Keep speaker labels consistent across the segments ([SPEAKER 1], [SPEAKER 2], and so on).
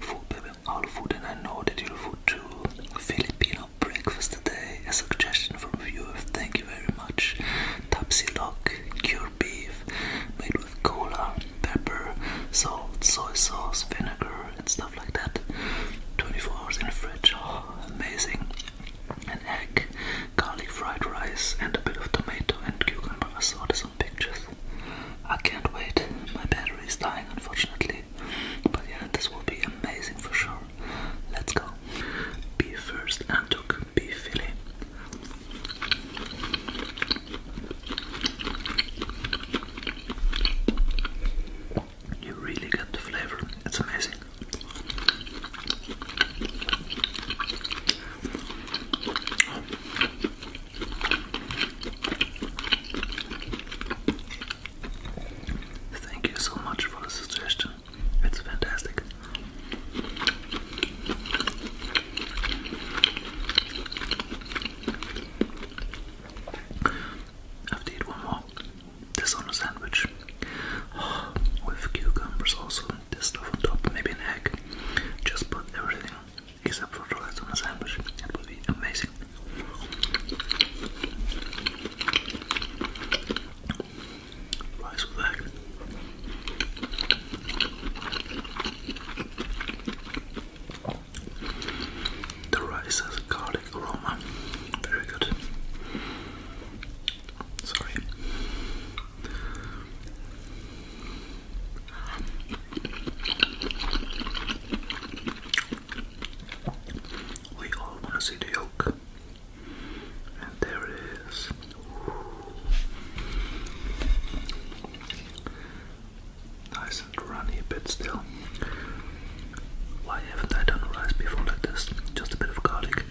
[SPEAKER 1] Food baby, all food and I know that you'll food too. Filipino breakfast today, a suggestion from a thank you very much. Tapsilok, cured beef, made with cola, pepper, salt, soy sauce, vinegar and stuff like that. 24 hours in the fridge, oh, amazing. An egg, garlic fried rice and a bit of tomato and cucumber. I saw this pictures. I can't wait. My battery is dying, unfortunately. But yeah, this will be amazing for sure. Let's go. Beef first and took beef fillet. You really get the flavor, it's amazing. Thank you so much for the suggestion. It's fantastic. I have to eat one more. This on a sandwich. with cucumbers also. This stuff on top. Maybe an egg. Just put everything except for the rest of the It would be amazing. Rice with egg. The rice has a garlic aroma. Very good. Sorry. We all want to see the yolk, and there it is. Nice and runny a bit still. Why haven't I done rice before like this? Just a bit of garlic.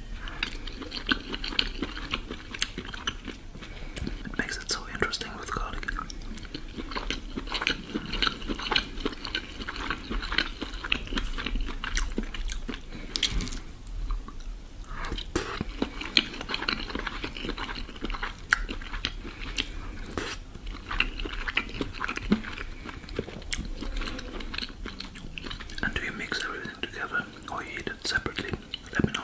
[SPEAKER 1] It makes it so interesting with cardigan. And do you mix everything together or eat it separately? Let me know.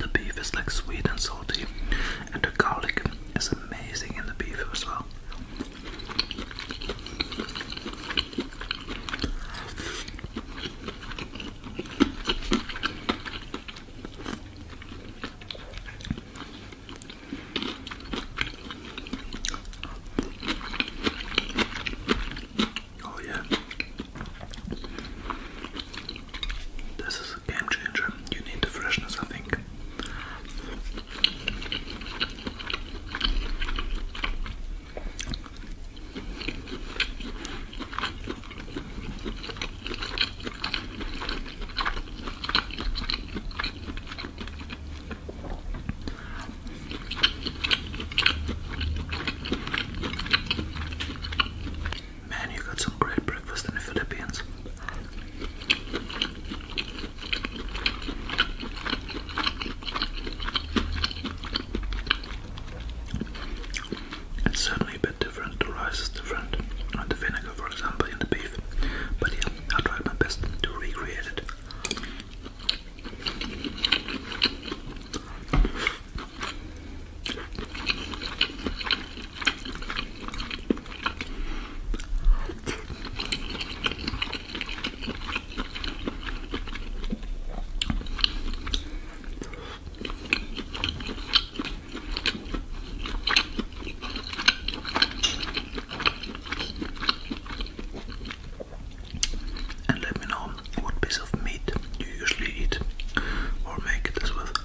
[SPEAKER 1] The beef is like sweet and salty, and the garlic it's amazing in the beef as well. Oh, yeah. This is a game changer. You need the freshness, I think. Man, you got some great breakfast in the Philippines. It's certainly a bit different. The rice is different, and the vinegar, for example, in the beef. But yeah, I tried my best to recreate it. And let me know what piece of meat you usually eat or make this with.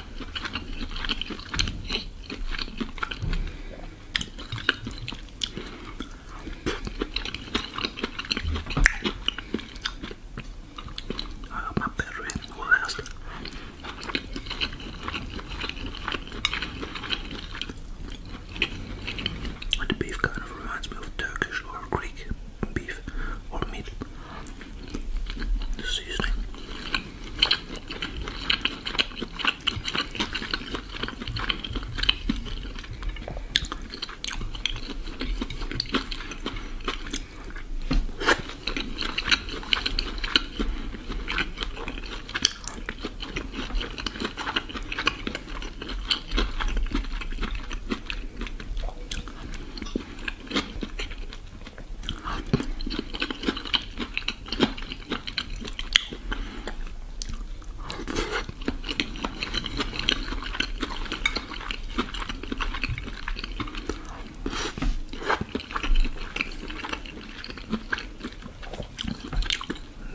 [SPEAKER 1] I my battery will last. The beef kind of reminds me of Turkish or Greek beef or meat. seasoning.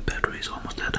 [SPEAKER 1] Battery is almost dead.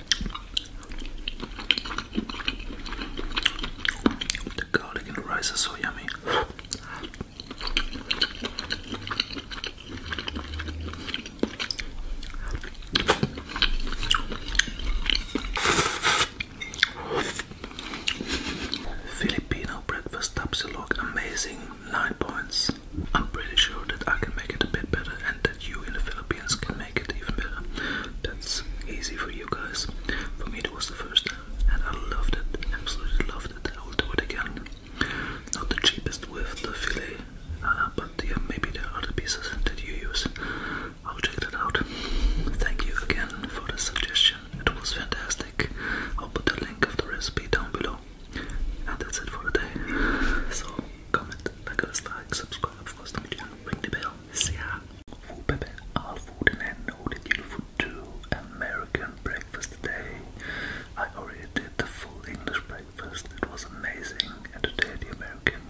[SPEAKER 1] The garlic and rice are so yummy. Filipino breakfast tapsilog amazing 9 points. I'm pretty sure that I can make it a bit better and that you in the Philippines can make make it even better. That's easy for you guys. For me, it was the first and I loved it. Absolutely loved it. I will do it again. Not the cheapest with the fillet, uh, but yeah, maybe there other pieces that you use. I'll check that out. Thank you again for the suggestion. It was fantastic. I'll put the link of the recipe down below. And that's it for today. So comment, like, subscribe, of course, to my channel, ring the bell se han foodpepper Alford and I know that you'll food American breakfast today. I already did the full English breakfast. It was amazing. And today the American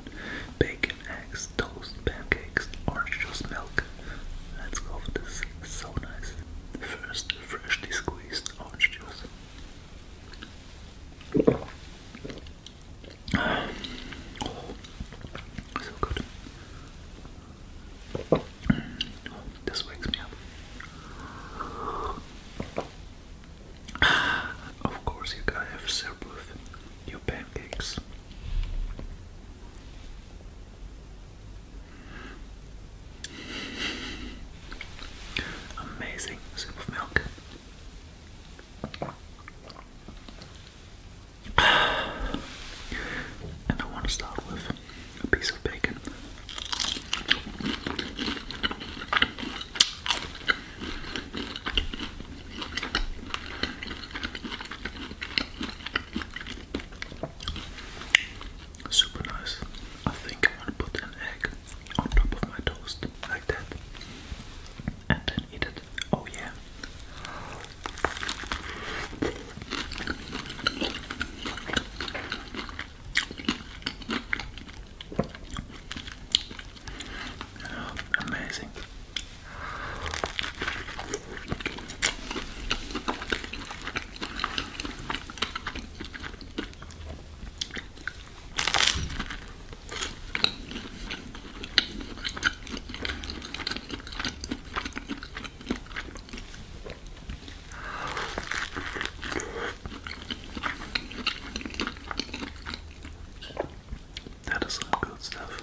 [SPEAKER 1] bacon, eggs, toast, pancakes, orange juice, milk. Let's go for this. So nice. First, freshly squeezed orange juice so good. this wakes me up. Of course, you gotta have syrup with your pancakes. Amazing sip of milk. And I want to start with a piece of bacon. Super nice. I think I want to put an egg on top of my toast like that and then eat it. Oh, yeah. Oh, amazing. That is some good stuff.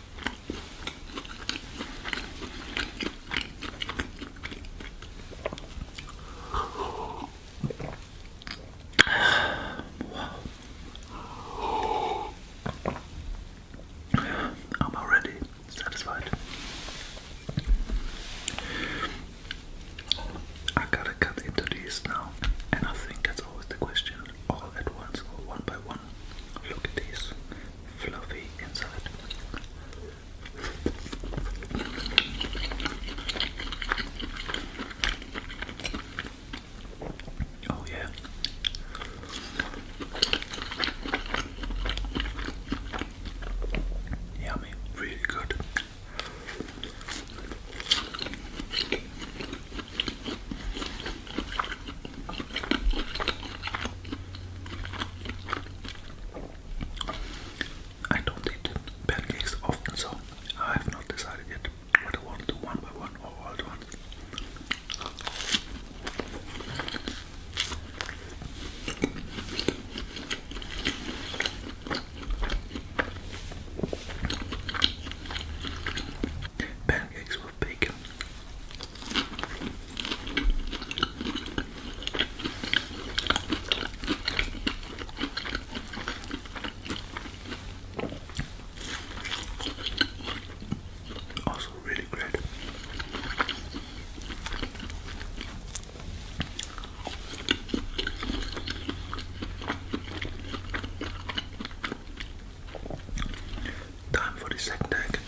[SPEAKER 1] I'm already satisfied. I gotta cut into these now, and I think that's always the question all at once or one by one. Look at these fluffy inside. Oh, yeah. Yummy, really good. I don't eat pancakes often, so I have not decided yet what I want to do one by one or all at once. Pancakes with bacon also really great. Time for the second egg.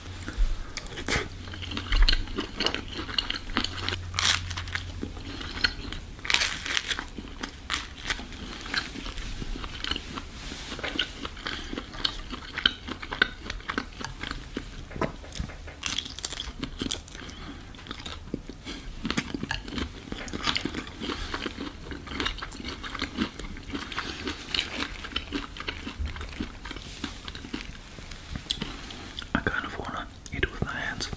[SPEAKER 1] I kind of want to eat with my hands.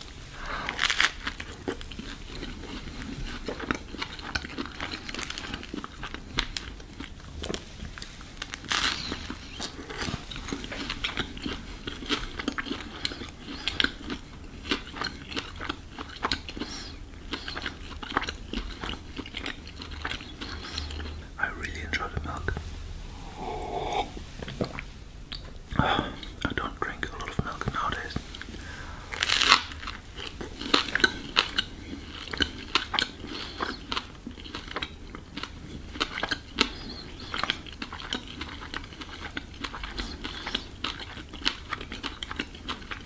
[SPEAKER 1] I really enjoy the milk. I don't drink a lot of milk nowadays.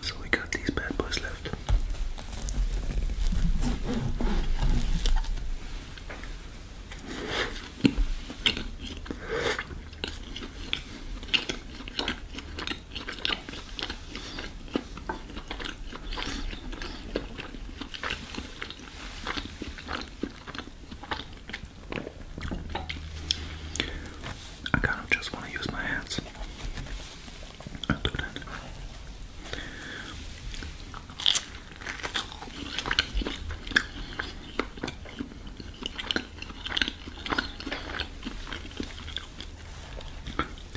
[SPEAKER 1] So we got these bad boys left. I kind of just want to use my hands. I'll do that.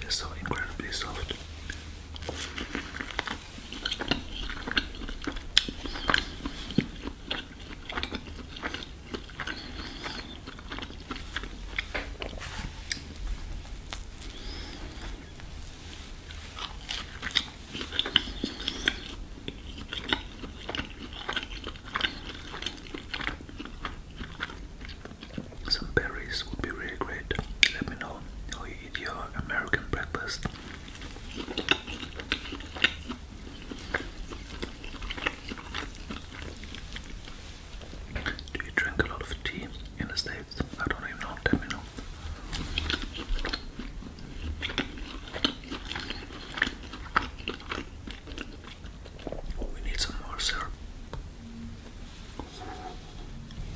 [SPEAKER 1] They're so incredibly soft. Some berries would be really great. Let me know eat your American breakfast. Do you drink a lot of tea in the States? I don't even know, tell me We need some more syrup.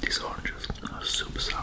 [SPEAKER 1] These oranges are super sour.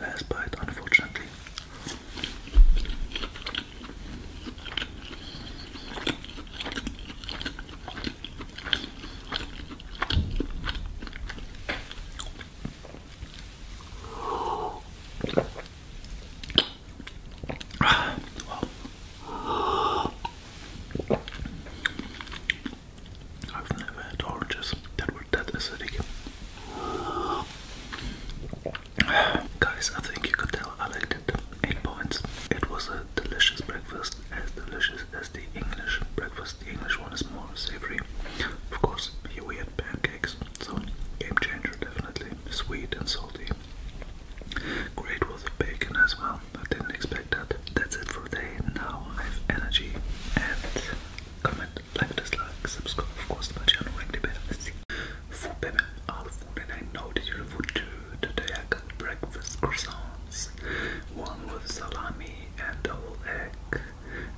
[SPEAKER 1] last bite, unfortunately. I've never had oranges that were that acidic. Guys, I think you could tell I liked it. 8 points. It was a delicious breakfast, as delicious as the English breakfast. The English one is more savory. Of course, here we had pancakes, so game changer definitely. Sweet and salty. Great with bacon as well. I didn't expect that. That's it for today. Now I have energy and comment, like, dislike, subscribe, of course, to my channel, the bell, food payment, all food, and I know that you're food Today breakfast croissants, one with salami and double egg,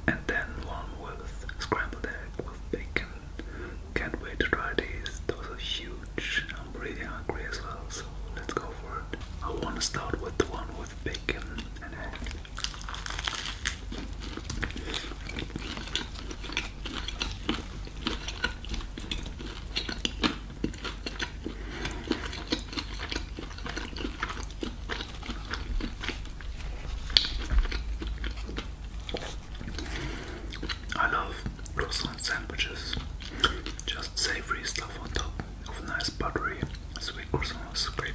[SPEAKER 1] and then one with scrambled egg with bacon. Can't wait to try these, those are huge. I'm really hungry as well, so let's go for it. I want to start with the one with bacon and egg. I love croissant sandwiches, just savory stuff on top of nice buttery sweet croissants. Great.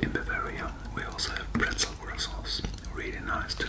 [SPEAKER 1] In Bavaria, we also have pretzel rolls. really nice too.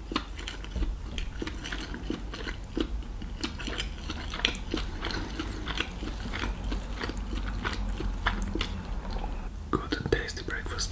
[SPEAKER 1] Good and tasty breakfast.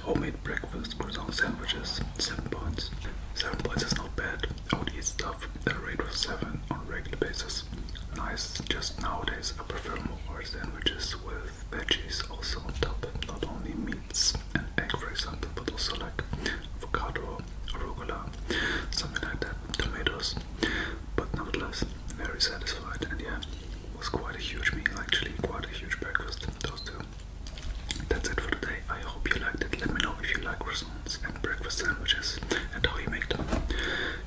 [SPEAKER 1] Homemade breakfast, croissant sandwiches, 7 points. 7 points is not bad. I would eat stuff at a rate of 7 on regular basis. Nice, just nowadays I prefer more sandwiches with veggies also on top. Not only meats and egg for example, but also like avocado, arugula, something like that, tomatoes. But nevertheless, very satisfied and yeah, was quite a huge meal actually, quite a huge breakfast, those two. That's it for today. I hope you liked it. Let me know if you like croissants and breakfast sandwiches and how you make them.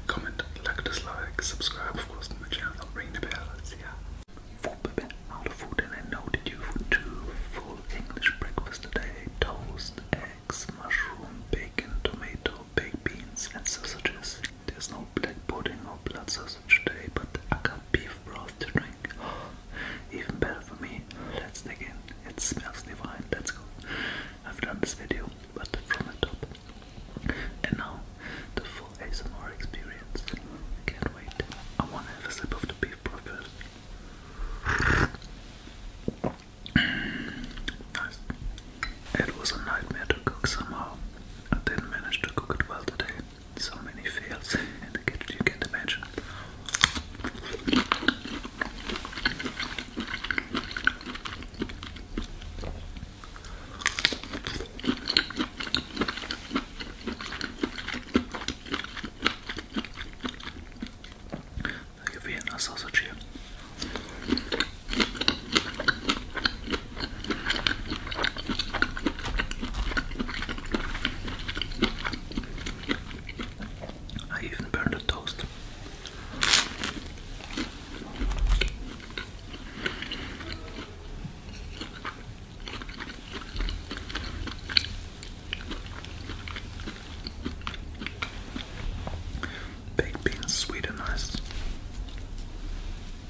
[SPEAKER 1] Comment, like, dislike, subscribe, of course, to my channel, ring the bell. See ya. Out of food, and I know that you food two Full English breakfast today: toast, eggs, mushroom, bacon, tomato, baked beans, and sausages. There's no black pudding or blood sausage today, but I got beef broth to drink. Even better for me. Let's dig in. It smells divine. Let's go. I've done this video, but from the top. And now, the full ASMR experience. Can't wait. I wanna have a sip of the beef broth first. nice. It was a nightmare to cook somehow. I didn't manage to cook it well today. So many fails in the kitchen, you can't imagine. Like a Vienna sausage here. I even burned a toast. Baked sweet and nice.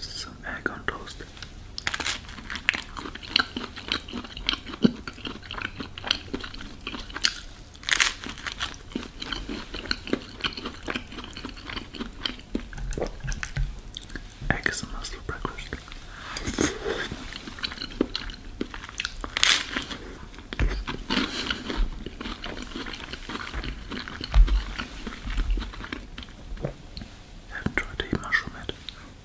[SPEAKER 1] Some egg on toast. Eggs breakfast. I haven't tried to eat mushroom yet.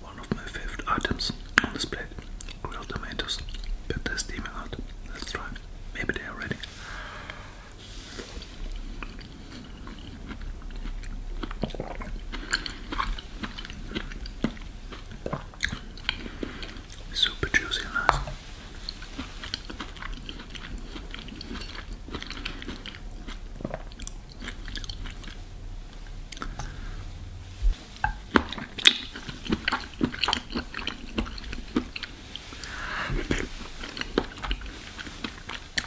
[SPEAKER 1] One of my favorite items on this plate grilled tomatoes, but they steaming out. Let's try. Maybe they are ready. Super juicy and nice.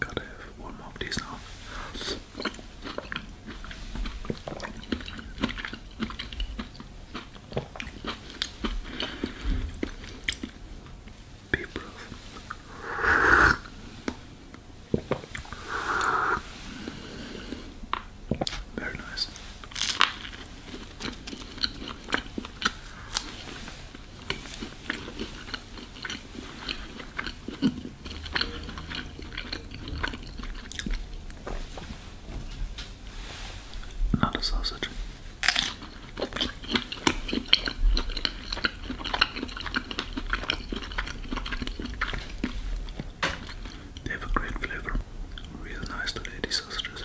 [SPEAKER 1] Gotta have one more of these now. Be proof. Very nice. Not a sausage. They have a great flavor. Real nice today, these sausages.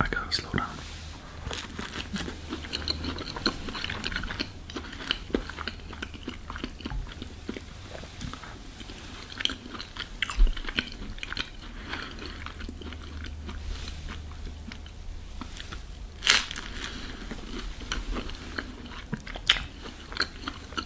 [SPEAKER 1] I gotta slow down.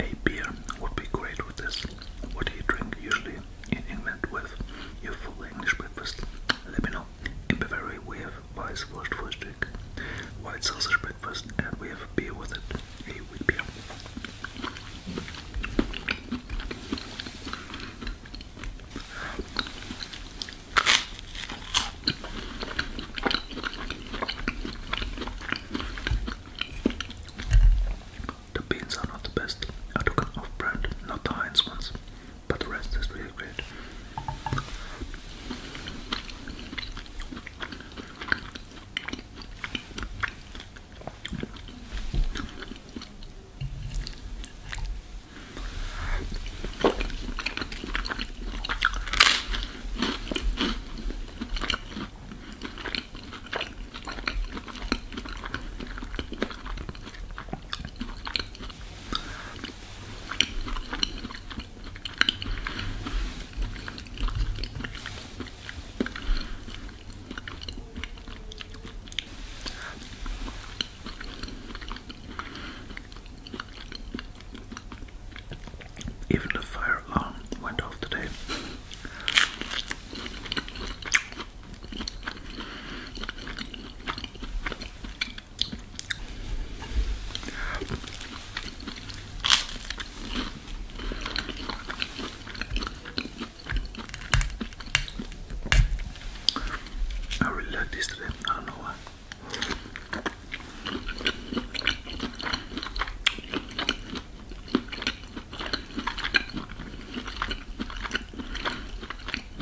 [SPEAKER 1] A beer would be great with this. What do you drink usually in England with your full English breakfast? Let me know. In Bavaria, we have Wise flushed for White sausage breakfast, and we have beer with it. wheat beer. The beans are not the best. I took an off brand, not the Heinz ones but the rest is really great. Even the fire alarm went off today. I really like this today. I don't know why.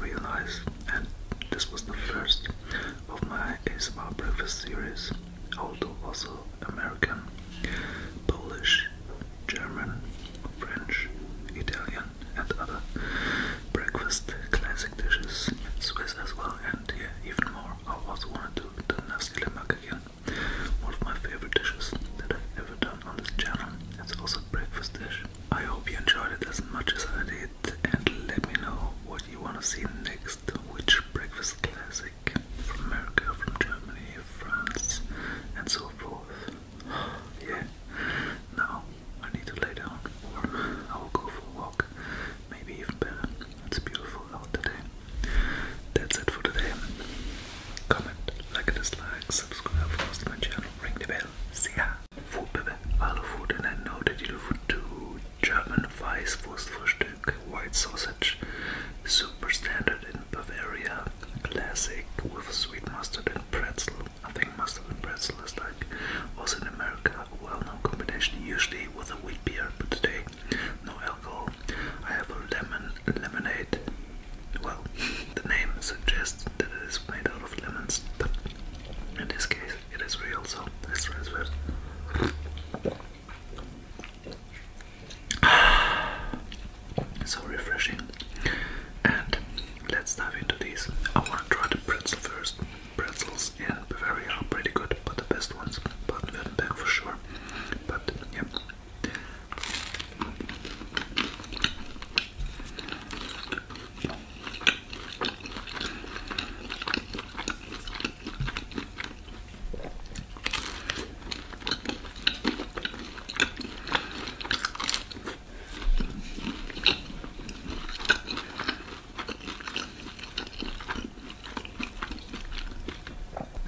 [SPEAKER 1] Realize, and this was the first of my ASMR breakfast series, although also American, Polish, German, French, Italian, and other breakfast classic dishes, Swiss as well, and yeah, even more. I also want to do the nasi again. One of my favorite dishes that I've ever done on this channel. It's also a breakfast dish. I hope you enjoyed it as much as I did and let me know what you want to see next. Which breakfast classic from America, from Germany, France and so forth. yeah. Now I need to lay down I will go for a walk maybe even better. It's beautiful out today. That's it for today. Comment, like, dislike, subscribe, of course, to my channel, ring the bell. See ya! Food, baby. Hallo Food, and I know that you love to German Weißwurstfrühstück, white sausage, super standard in Bavaria, classic with sweet mustard and pretzel. I think mustard and pretzel is like also in America a well known combination, usually with a wheat beer, but today no alcohol. I have a lemon lemonade. Well, the name suggests that it is made out of lemons, but in this case, it is real, so it's transferred. so refreshing. And let's dive into these. I want to try the pretzel first. Pretzels in Bavaria are pretty good but the best ones, Baden-Württemberg for sure. But yeah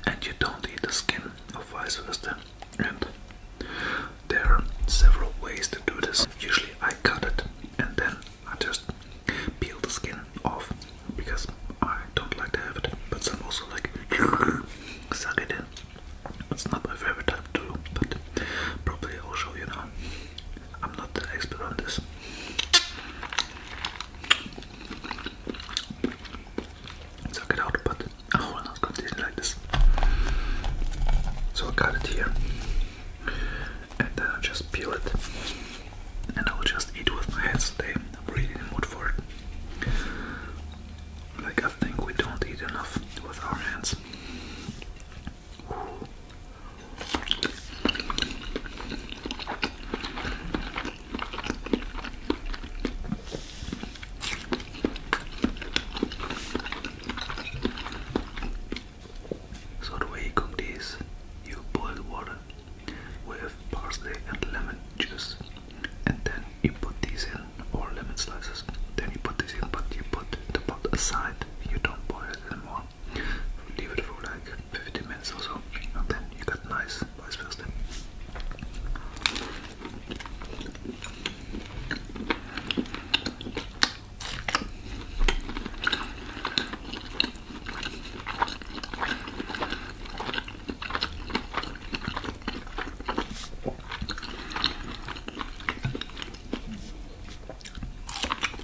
[SPEAKER 1] and you don't eat the skin, of vice versa. And there are several ways to do this. Usually, I cut it and then I just peel the skin off because I don't like to have it, but some also like suck it in. It's not my favorite type to do, but probably I'll show you now. I'm not that expert on this. Suck it out, but I will not like this. So I got it here, and then I just peel it, and I will just eat with my hands today. I'm really in the mood for it. Like I think we don't eat enough with our hands. So the way you this, you boil water with parsley and lemon juice, and then you put these in, or lemon slices. Then you put this in, but you put the pot aside. You don't boil it anymore. Leave it for like 15 minutes or so, and then you got nice vice versa.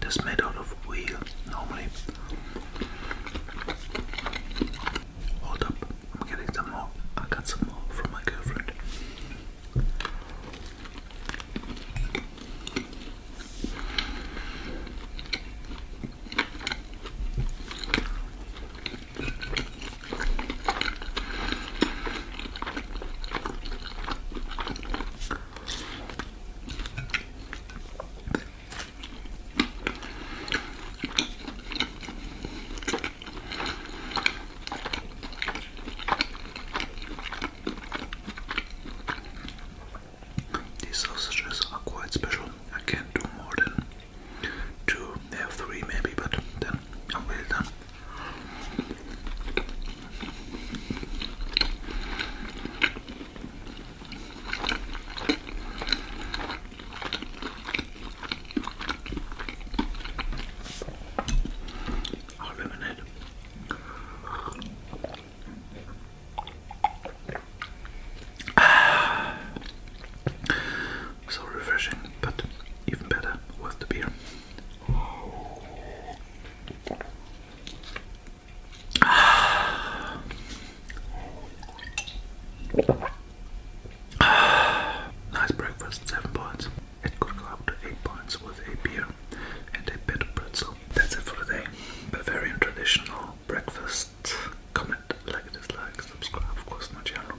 [SPEAKER 1] That's made out of wheel normally. Hold up, I'm getting some more. I got some more from my girlfriend. These sausages are quite special. I can't do more than two, they have three maybe, but then I'm well done. Our lemonade. Ah, so refreshing, but even better with the beer nice breakfast, 7 points. It could go up to 8 points with a beer and a bit of pretzel. That's it for today. Bavarian traditional breakfast. Comment, like, dislike, subscribe, of course, my channel.